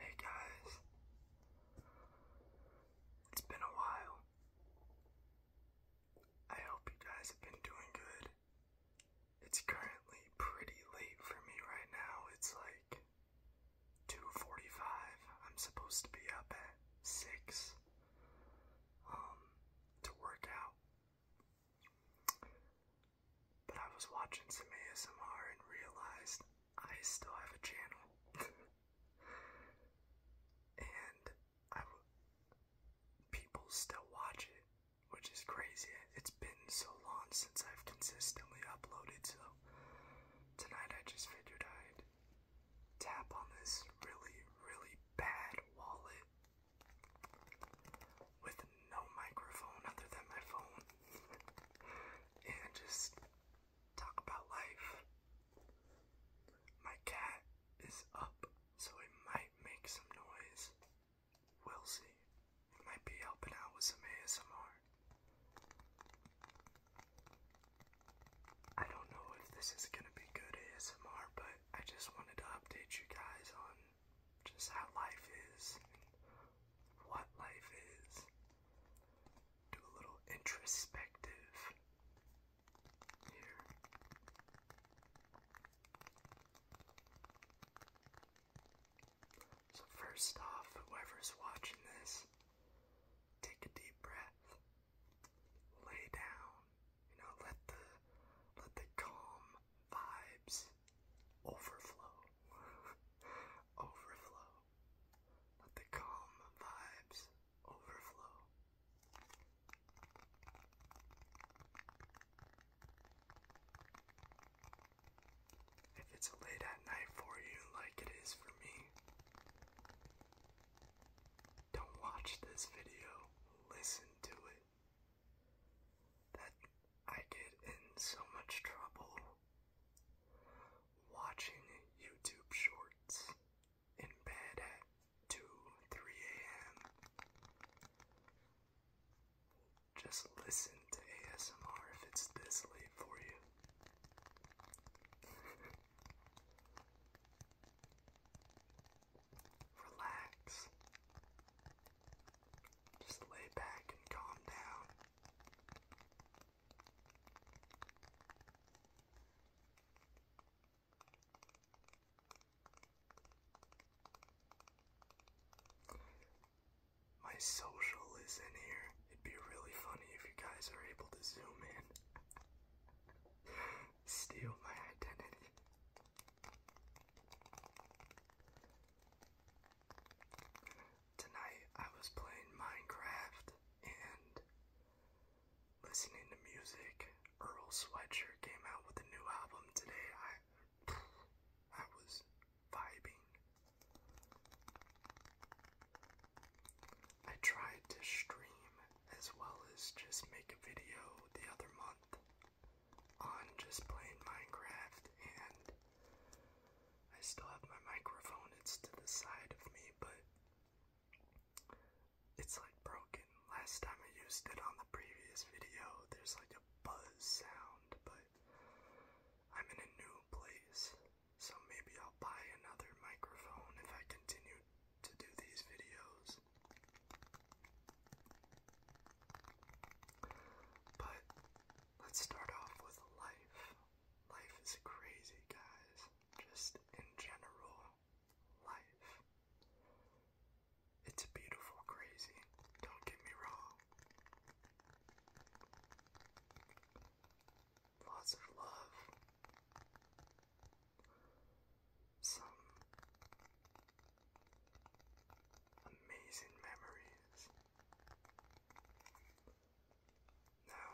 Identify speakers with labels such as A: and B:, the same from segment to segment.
A: Hey guys, it's been a while. I hope you guys have been doing good. It's currently pretty late for me right now. It's like 2:45. I'm supposed to be up at 6 um, to work out. But I was watching some ASMR and realized I still have a channel. and I people still watch it, which is crazy. It's been so long since I've consistently uploaded, so tonight I just figured I'd tap on this really, really bad wallet with no microphone other than my phone and just talk about life. My cat is up, so it might make some noise. We'll see. might be helping out with some ASMR. I don't know if this is gonna be good ASMR, but I just wanted to update you guys on just how life is and what life is. Do a little introspective here. So, first off, whoever's watching this, take a deep breath, lay down, you know, let the let the calm vibes. Overflow. overflow. Let the calm vibes overflow. If it's late at night for you, like it is for me, don't watch this video, listen to it that I get in so much trouble watching YouTube shorts in bed at 2 3 a.m. Just listen to ASMR if it's this late for you. Relax. Just lay back and calm down. My social is in here. It'd be really funny if you guys are able to zoom in. Steal my identity. Tonight I was playing Minecraft and listening to music. Earl Sweatshirt came out with a new album today. I was vibing. I tried to stream as well as just make a video the other month on just playing Minecraft, and I still have my microphone, it's to the side of me, but it's like broken. Last time I used it on the previous video, there's like a buzz sound, but I'm in a new place, so maybe I'll buy another microphone if I continue to do these videos. But let's start off with life. Life is crazy, guys. Just in general, life. It's beautiful, crazy. Don't get me wrong. Lots of love. Some amazing memories. Now,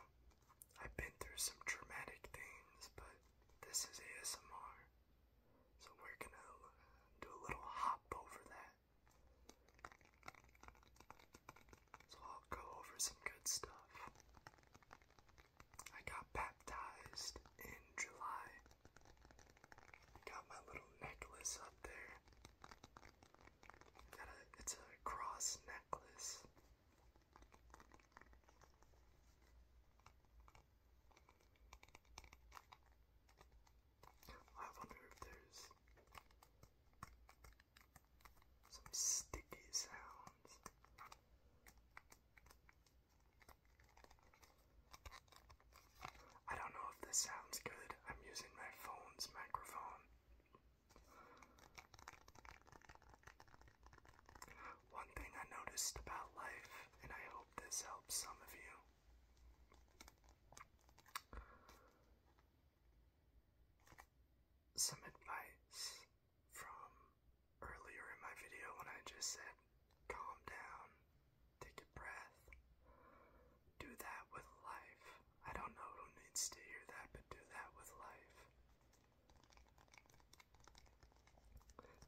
A: I've been through some traumatic things, but this is ASMR, so we're gonna uh, do a little hop over that. So I'll go over some good stuff. I got baptized in July. Got my little necklace up there. it's a cross necklace. I wonder if there's some sticky sounds. I don't know if this sounds good. I'm using my phone's microphone. One thing I noticed about life, and I hope this helps some of you. Some advice from earlier in my video when I just said, calm down, Take a breath. Do that with life. I don't know who needs to hear that, but do that with life.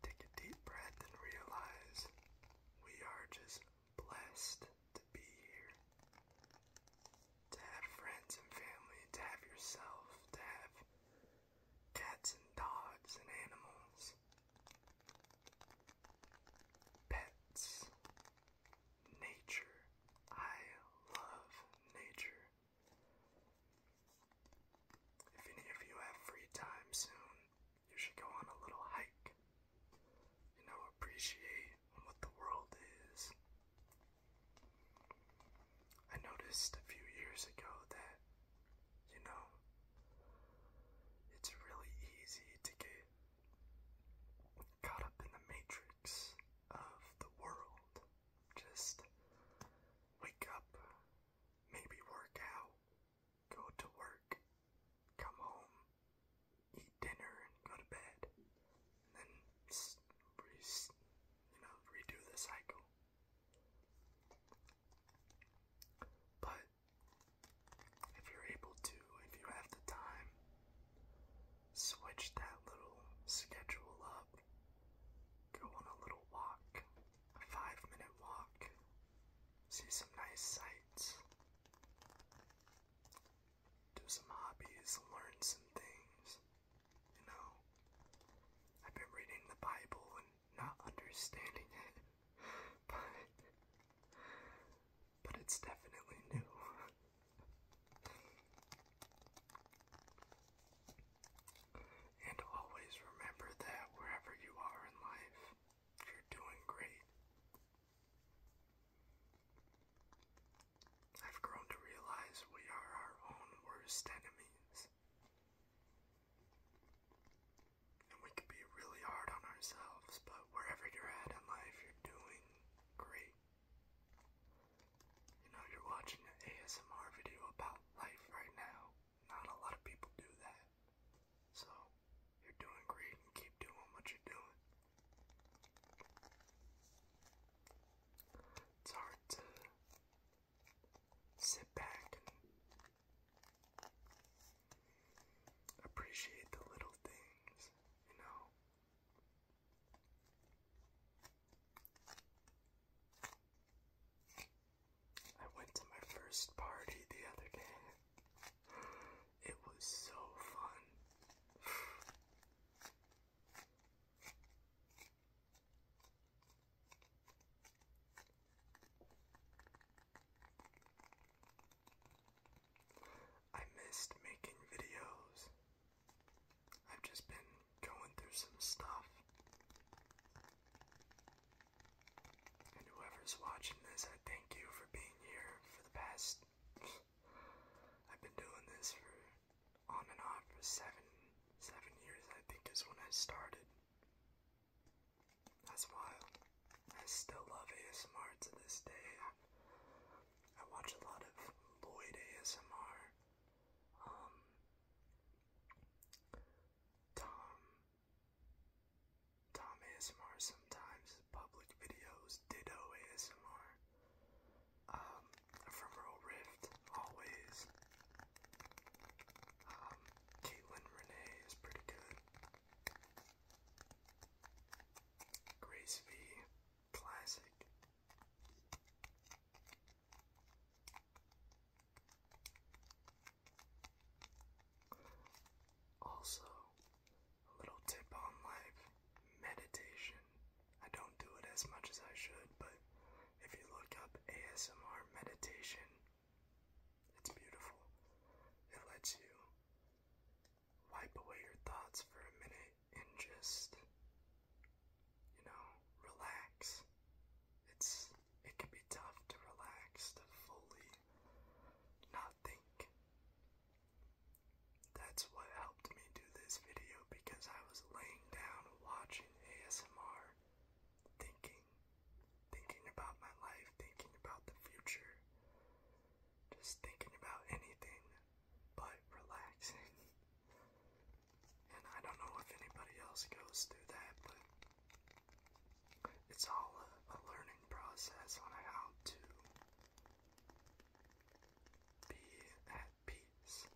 A: Take a deep breath and realize we are just blessed to be here. To have friends and family, to have yourself, to have cats and dogs and animals, Pets. Nature. I love nature. If any of you have free time soon, you should go on a little hike. You know, appreciate what the world is. I noticed a few years ago that you know, it's really easy to get caught up in the matrix of the world. Just wake up, maybe work out, go to work, come home, eat dinner, and go to bed. And then, re you know, redo the cycle. But if you're able to, if you have the time, switch that little schedule up. Go on a little walk, a five minute walk, see some nice sights, do some hobbies, learn some things. You know, I've been reading the Bible and not understanding it, but but it's definitely new. and always remember that wherever you are in life, you're doing great. I've grown to realize we are our own worst enemies. And we can be really hard on ourselves, but wherever you're at in life, you're doing great. You know, you're watching an ASMR video about life right now. Not a lot of people do that. So, you're doing great keep doing what you're doing. It's hard to sit back Appreciate the little things, you know. I went to my first party the other day. It was so fun. I missed making videos. I've just been going through some stuff. And whoever's watching this, I thank you for being here for the past. I've been doing this for on and off for seven seven years I think is when I started. That's wild. I still love ASMR to this day. I watch a lot of Lloyd ASMR. Um, Tom, Tom ASMR sometimes, public videos, Ditto ASMR, um, Ephemeral Rift, always, um, Caitlin Renee is pretty good, Grace V Classic. Also, a little tip on life meditation. I don't do it as much as I should, but if you look up ASMR meditation, it's beautiful. It lets you wipe away your thoughts for a minute and just, you know, relax. It's it can be tough to relax, to fully not think. That's what helped me do this video because I was laying down watching ASMR thinking, thinking about my life, thinking about the future, just thinking about anything but relaxing. and I don't know if anybody else goes through that, but it's all a, learning process on how to be at peace.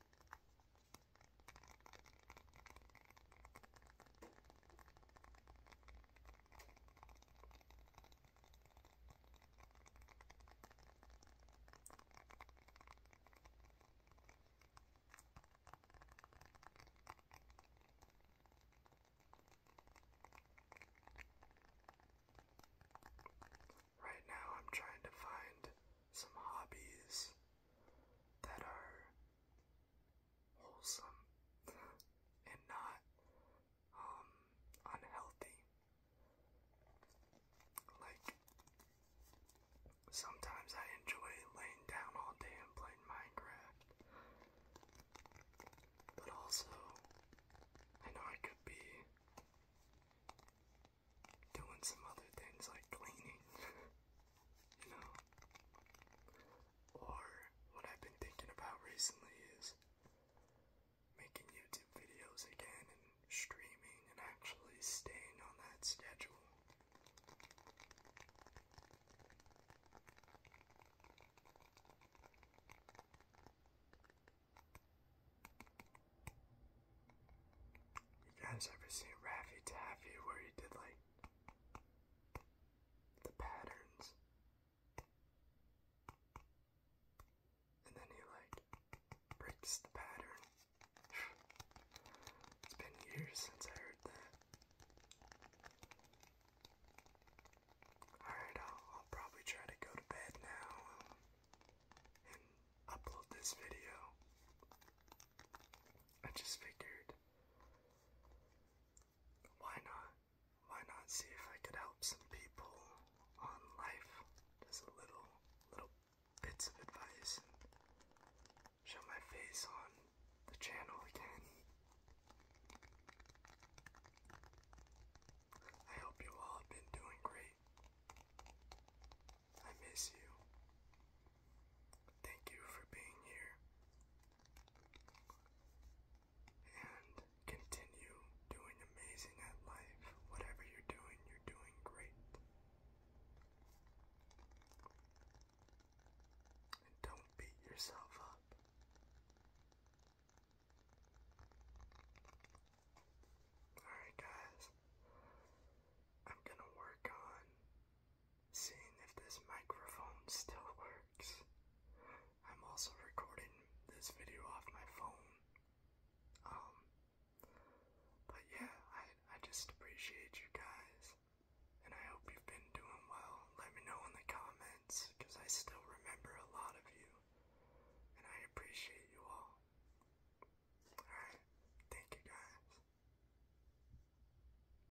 A: Right now, I'm trying to find some hobbies that are wholesome and not um, unhealthy. Like, sometimes I enjoy laying down all day and playing Minecraft, but also I know I could be doing some other things like cleaning, you know? or what I've been thinking about recently is making YouTube videos again and streaming and actually staying on that schedule. You guys ever seen Raffy Taffy where he did like the patterns. And then he like breaks the pattern. It's been years since I heard that. Alright, I'll, probably try to go to bed now and upload this video. I just figured why not? Why not see if I could help some people on life? Just a little, little bits of advice show my face on the channel again. I hope you all have been doing great. I miss you. Thank you for being here. And continue doing amazing at life. Whatever you're doing, you're doing great. And don't beat yourself up. Alright, guys. I'm gonna work on seeing if this microphone still works. I'm also recording this video off my phone. Um but yeah, I I just appreciate you guys. And I hope you've been doing well. Let me know in the comments cuz I still remember a lot of you. And I appreciate you all. All right. Thank you guys.